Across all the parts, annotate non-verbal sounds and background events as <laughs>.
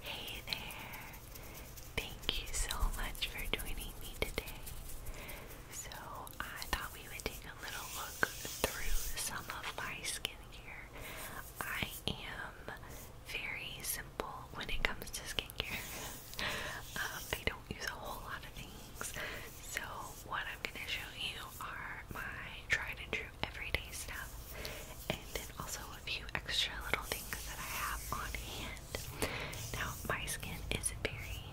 Hey there! Thank you so much for joining me today. So, I thought we would take a little look through some of my skincare. I am very simple when it comes to skincare, I <laughs> um, don't use a whole lot of things. So, what I'm going to show you are my tried and true everyday stuff, and also a few extra little things that I have on hand. Now, my skin is very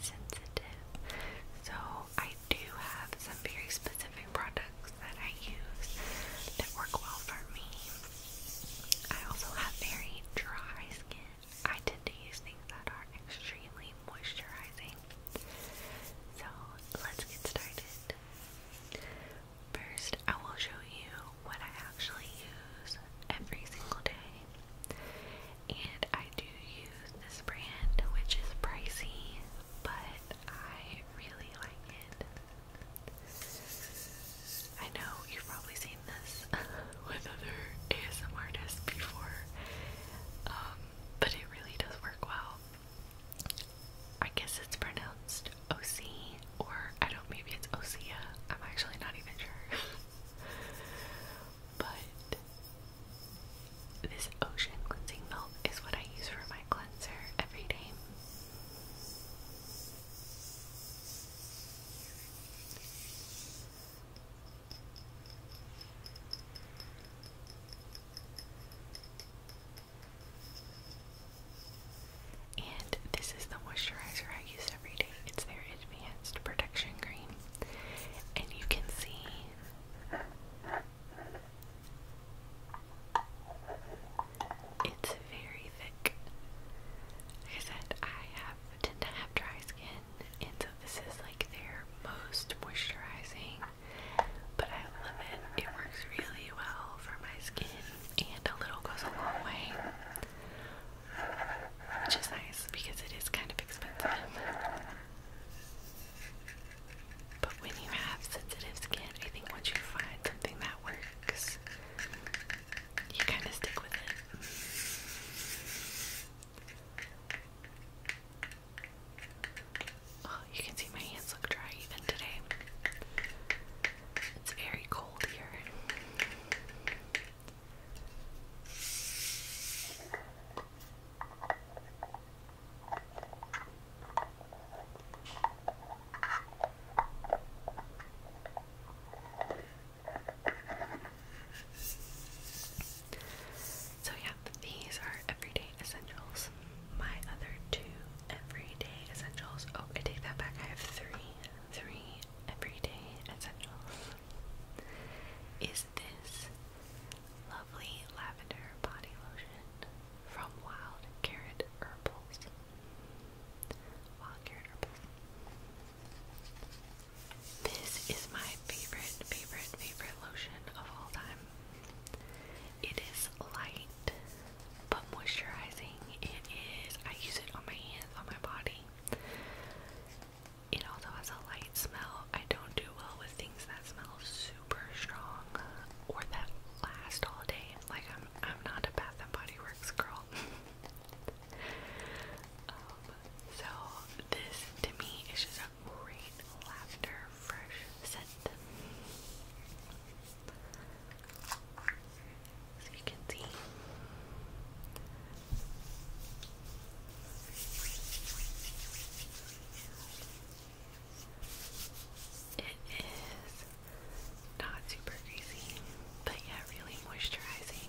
sensitive, so I do have some very specific products that I use that work well for me. I also have very dry skin. I tend to use things that are extremely moisturizing. So let's get started. First, I will show you what I actually use every single day. And I do use this brand, which is pricey, but I really like it. I know you've probably seen this <laughs> with other ASM artists before, um, but it really does work well. I guess it's pronounced OC, or I don't, maybe it's Osea. I'm actually not even sure. <laughs> but this ocean cleansing milk is what I use for my cleanser every day. And this is the moisturizer I use every day. It's their Advanced Protection Cream. And you can see it's very thick. Like I said, I have tend to have dry skin, and so this is like their most moisturizing. But I love it. It works really well for my skin and a little goes a long way, which is nice because it is kind of expensive. But when you have sensitive skin, I think once you find something that works, you kind of stick with it. Oh, you can see my hands look dry even today. It's very cold here. So, yeah, these are everyday essentials. My other two everyday essentials. Oh, I take that back. I have three, three everyday essentials. Is this lovely lavender body lotion from Wild Carrot Herbals? Wild Carrot Herbals. This is my favorite, favorite, favorite lotion of all time. It is light but moisturizing it is. I use it on my hands, on my body. It also has a light smell. I don't do well with things that smell super strong or that last all day. Like I'm, I'm not a Bath and Body Works girl. <laughs> Um, so this to me is just a great lavender fresh scent. So you can see. It is not super greasy, but yet really moisturizing.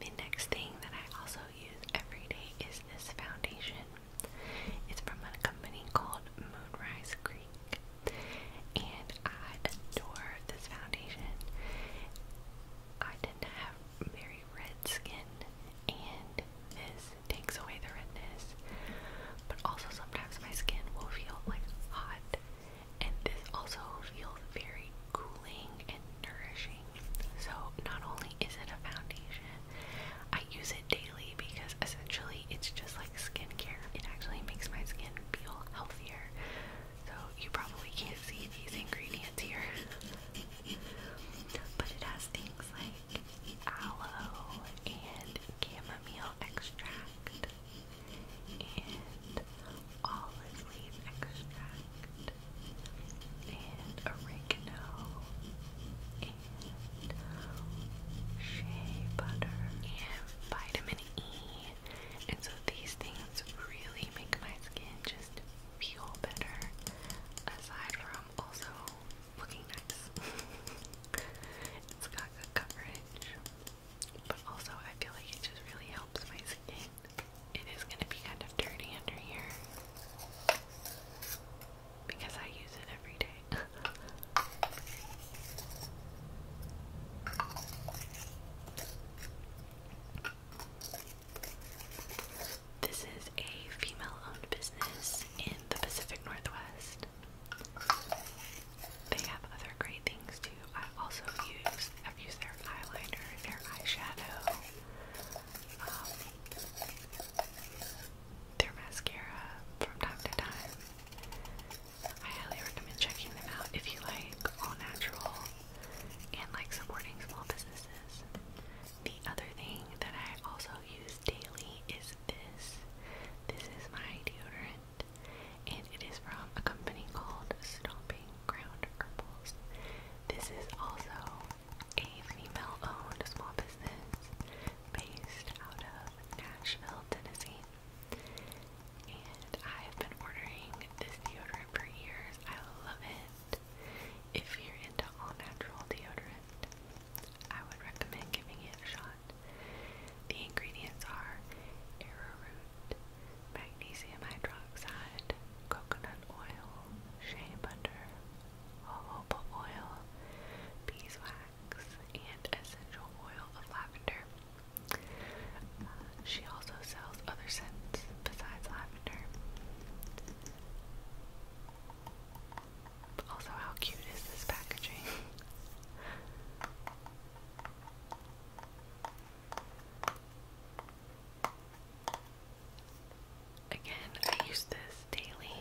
The next thing that I also use every day is this foundation. It's from a company called Moonrise Creek, and I adore this foundation. I didn't have very red skin, and this takes away the redness. But also, sometimes my skin will feel like hot, and this also feels very cooling and nourishing. So, not only is it a foundation, I use it daily because essentially it's just like skincare. It actually makes my skin feel healthier. So you probably can't see these ingredients here. but it has things like aloe and chamomile extract and olive leaf extract and oregano shea butter and vitamin E. And so these things really make my skin just feel better, aside from also looking nice. <laughs> it's got good coverage, but also I feel like it just really helps my skin. It is going to be kind of dirty under here because I use it every day. <laughs> This is a female owned business in the Pacific Northwest. They have other great things too. I also use have used their eyeliner, their eyeshadow, um, their mascara from time to time. I highly recommend checking them out if you like all natural and like supporting small businesses. The other thing that I also use daily is this. This is my deodorant, and it is from a company called Stomping Ground Herbals. This is also a female owned small business based out of Nashville, Tennessee and I have been ordering this deodorant for years. I love it. If you're into all natural deodorant, I would recommend giving it a shot. The ingredients are arrowroot, magnesium hydroxide, coconut oil, shea butter, jojoba oil, beeswax, and essential oil of lavender she also sells other scents besides lavender. Also, how cute is this packaging? Again, I use this daily,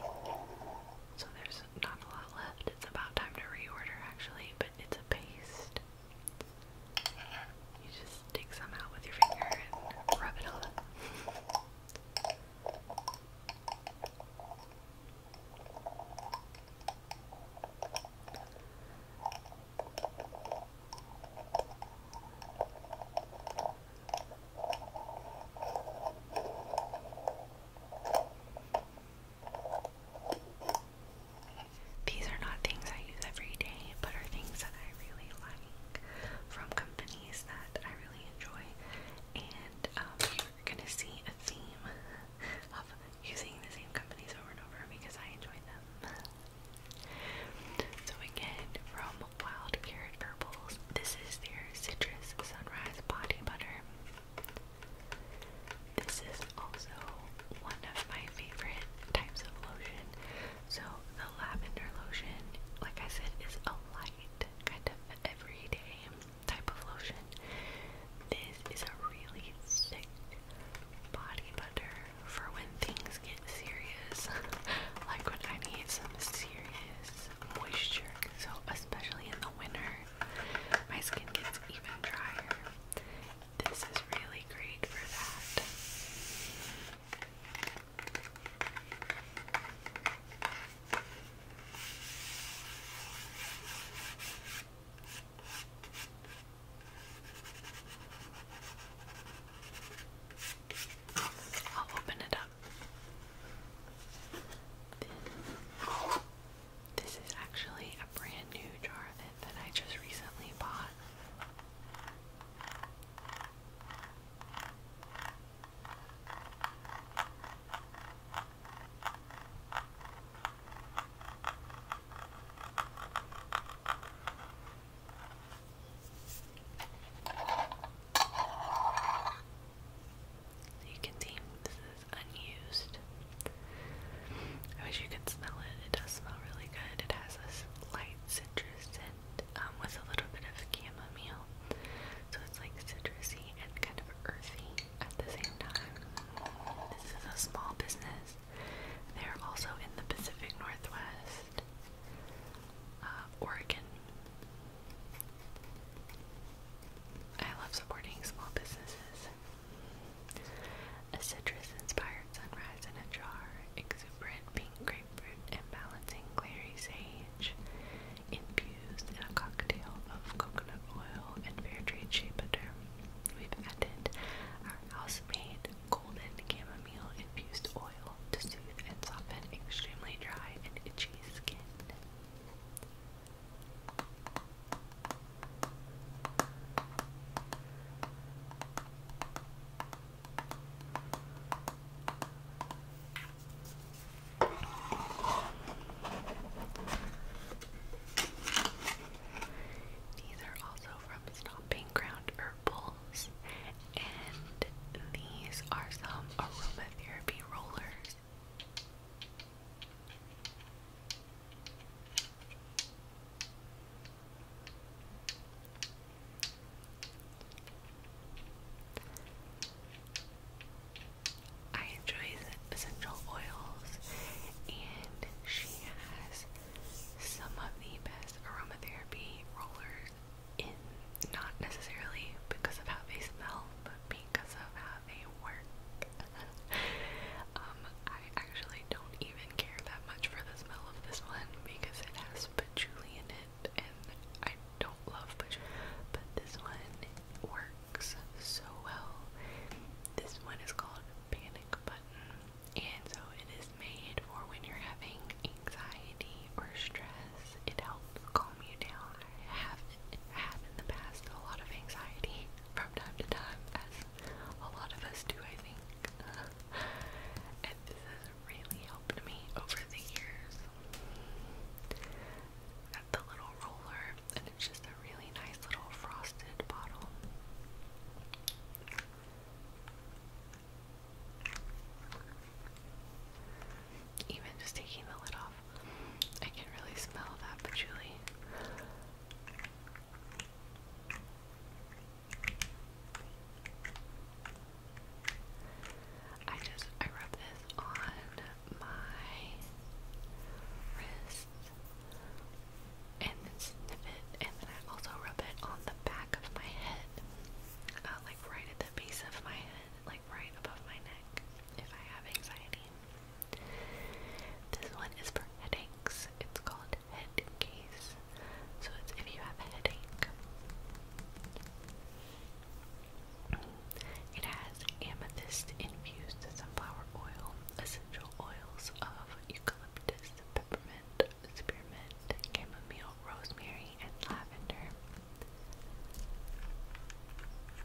so there's not a lot left. It's about time to reorder actually, but it's a paste. You just take some out with your finger and rub it on. These are not things I use every day, but are things that I really like from companies that I really enjoy. And um, you're gonna see a theme of using the same companies over and over because I enjoy them. So again, from Wild Carrot Purples, this is their Citrus Sunrise Body Butter. This is also one of my favorite types of lotion. So the lavender lotion, like I said, is a light kind of everyday type of lotion. This is a really thick body butter for when things get serious. <laughs> like when I need some serious moisture. So especially in the winter, my skin gets even drier this is really great for that. I'll open it up. This is actually a brand new jar that, that I just recently bought. You can see this is unused. I wish you could smell it. It does smell really good. It has this light citrus scent um, with a little bit of chamomile. So it's like citrusy and kind of earthy at the same time. This is a small business. They're also in the Pacific Northwest, uh, Oregon. I love supporting small businesses. A citrus-inspired sunrise in a jar, exuberant pink grapefruit, and balancing clary sage, infused in a cocktail of coconut oil and fair trade shea butter. We've added our house-made golden chamomile-infused oil to soothe and soften extremely dry and itchy skin. These are also from Stomping Ground Herbals, and these are some aromatherapy rollers. I enjoy essential oils, and she has some of the best aromatherapy rollers in not necessarily because of how they smell, but because of how they work. <laughs> Um, I actually don't even care that much for the smell of this one because it has patchouli in it and I don't love patchouli. But this one works so well. This one is called Panic Button and so it is made for when you're having anxiety or stress. It helps calm you down. I have, have in the past a lot of anxiety from time to time as a lot of us do I think and this has really helped me over the years. Got the little roller, and it's just a really nice little frosted bottle. Even just taking the lid off, I can really smell that but Julie. I just I rub this on my wrist and then sniff it and then I also rub it on the back of my head. Uh, like right at the base of my head, like right above my neck if I have anxiety. This one is for headaches. It's called head case. So it's if you have headache. It has amethyst infused sunflower oil, essential oils of eucalyptus, peppermint, spearmint, chamomile, rosemary, and lavender.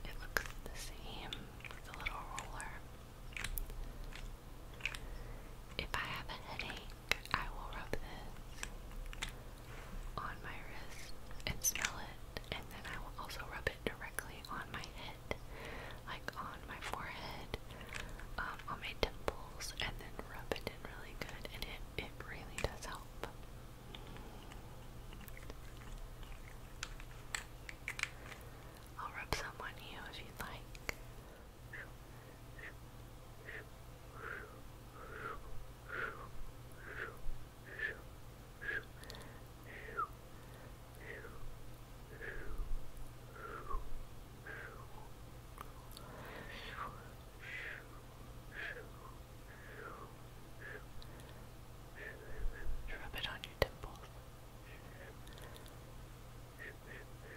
It looks the same with the little roller. If I have a headache, I will rub this on my wrist and smell it, and then I will also rub it directly on my head, like on my forehead, um, on my temples, and then rub it in really good, it, it really does help. I'll rub some on you if you'd like. Rub it on your temples.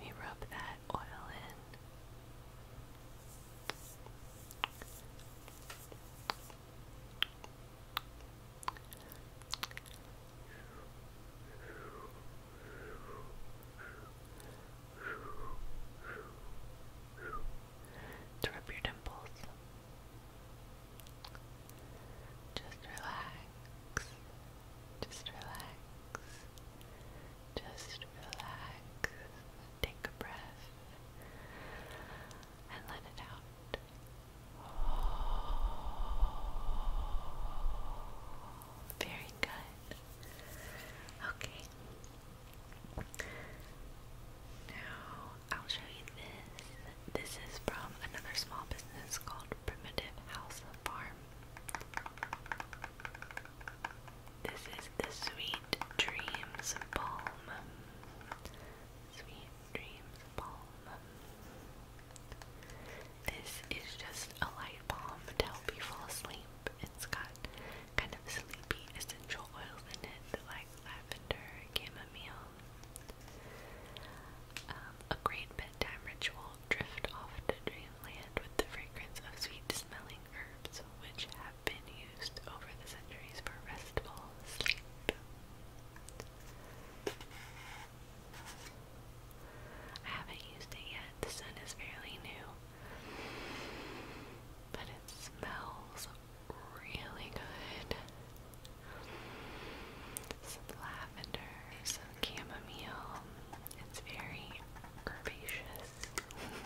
We rub that oil in. To rub your dimples. Just relax. Just relax. Just relax, take a breath, and let it out. Very good. Okay. Now I'll show you this. This is from another small business called Primitive House Farm. This is the Sweet Dreams Balm. Sweet Dreams Balm. This is just a light balm to help you fall asleep. It's got kind of sleepy essential oils in it, like lavender, chamomile. Um, a great bedtime ritual. Drift off to dreamland with the fragrance of sweet smelling herbs which have been used over the centuries for restful sleep. I haven't used it yet. The sun is fairly new. But it smells really good. Some lavender, some chamomile. It's very herbaceous herbaceous.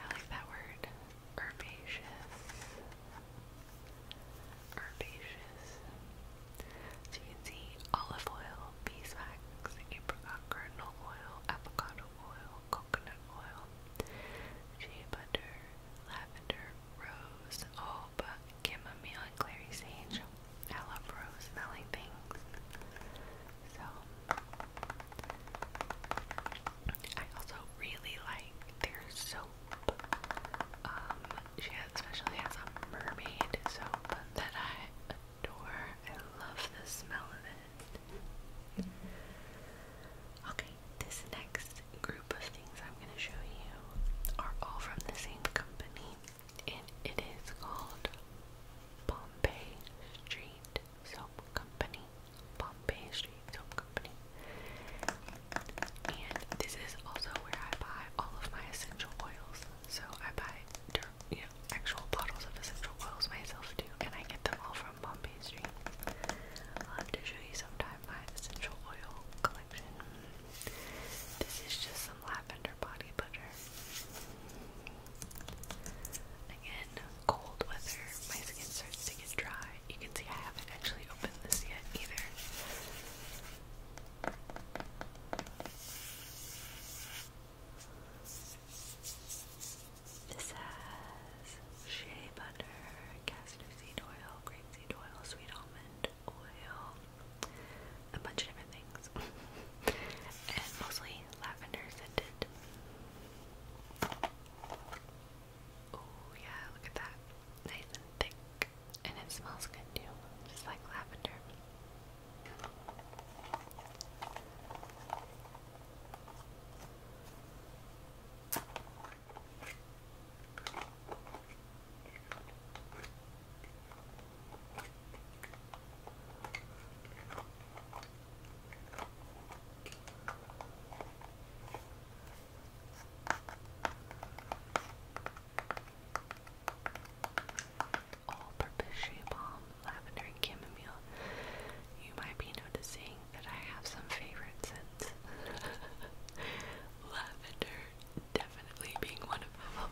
I like that word. Herbaceous. Herbaceous. So you can see olive oil, beeswax, apricot kernel oil, avocado oil, coconut oil, shea butter, lavender, rose, jojoba, oh, chamomile, and clary sage. I love rose smelling things. So I also really like their soap. Um, she has, especially has a mermaid soap that I adore. I love the smell of it. Okay, this next group of things I'm going to show you are all from the same company, and it is called Pompey Street Soap Company. Pompey Street Soap Company. And this is also where I buy all of my essential oils. So I buy actual bottles of essential oils myself too, and I get them all from Pompey Street. i have to show you sometime my essential oil collection. This is just some lavender body butter. Again, cold weather, my skin starts to get dry. You can see I haven't actually opened this yet either. This has shea butter, castor seed oil, grapeseed oil, sweet almond oil, a bunch of different things and mostly lavender scented. Oh yeah, look at that. Nice and thick. And it smells good too. Just like lavender. All purpose shea balm, lavender, and chamomile. You might be noticing that I have some favorite scents. <laughs> lavender definitely being one of them.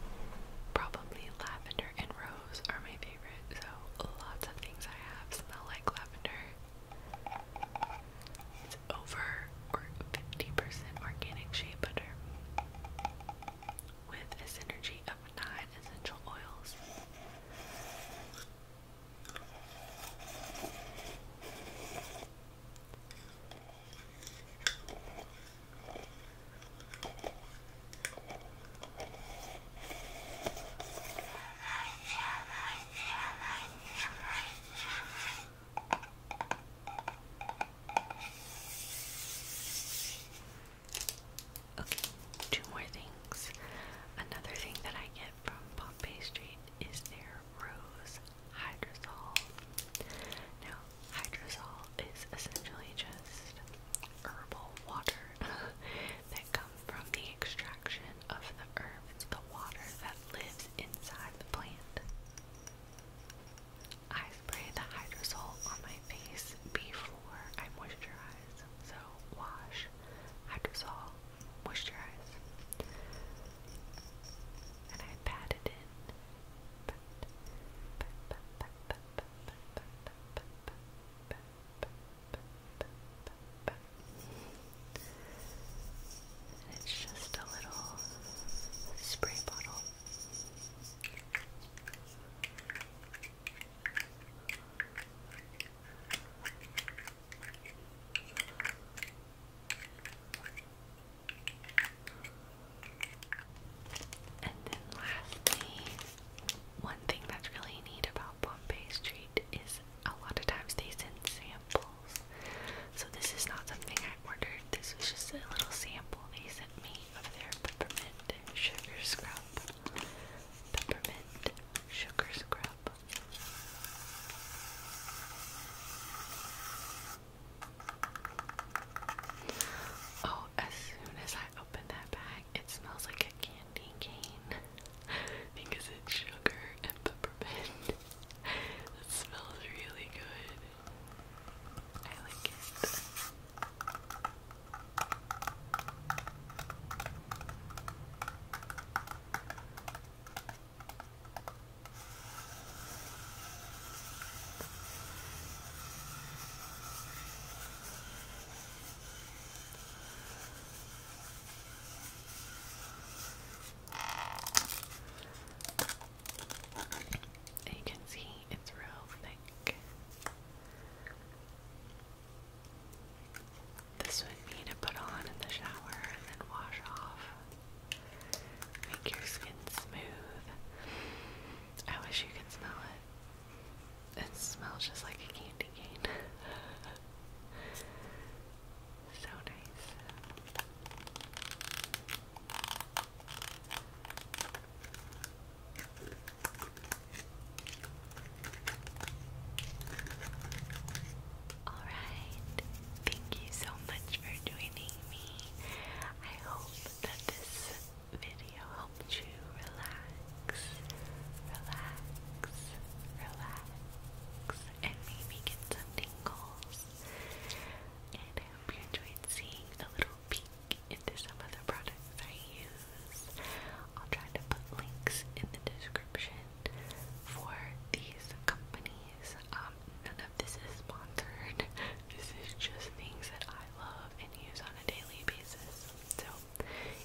Probably lavender and rose are my favorite, so lots of things I have smell like lavender. It's over 50% organic shea butter with a synergy of nine essential oils. Okay, two more things. Another thing that I get from Pompeii Street is their Rose Hydrosol. Now, hydrosol is essentially just herbal water. <laughs> that come from the extraction of the herb. It's the water that lives inside the plant. I spray the hydrosol on my face before I moisturize. So wash, hydrosol, moisturize. And I pat it in. And it's just a little spray bottle. And then lastly, one thing that's really neat about Bombay Street is a lot of times they send samples. So this is not something I ordered. This was just a little sample they sent me of their peppermint sugar scrub. Peppermint sugar scrub. Oh, as soon as I opened that bag, it smells like a candy cane <laughs> because it's sugar and peppermint. <laughs> that smells really good. I like it you can see it's real thick. This would be to put on in the shower and then wash off. Make your skin smooth. I wish you could smell it. It smells just like a candy cane. <laughs> so nice. All right. Thank you so much for joining me. I hope that this video helped you relax, relax, relax, and maybe get some tingles. And I hope you enjoyed seeing a little peek into some of the products I use. I'll try to put links in the description for these companies. Um, none of this is sponsored. <laughs> This is just things that I love and use on a daily basis. So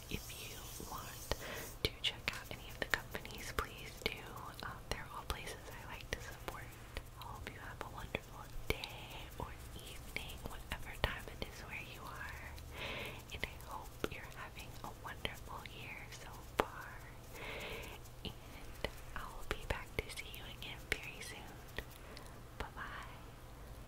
if you want to check out any of the companies, please do. Um, they're all places I like to support. I hope you have a wonderful day or evening, whatever time it is where you are. And I hope you're having a wonderful year so far. And I'll be back to see you again very soon. Bye bye.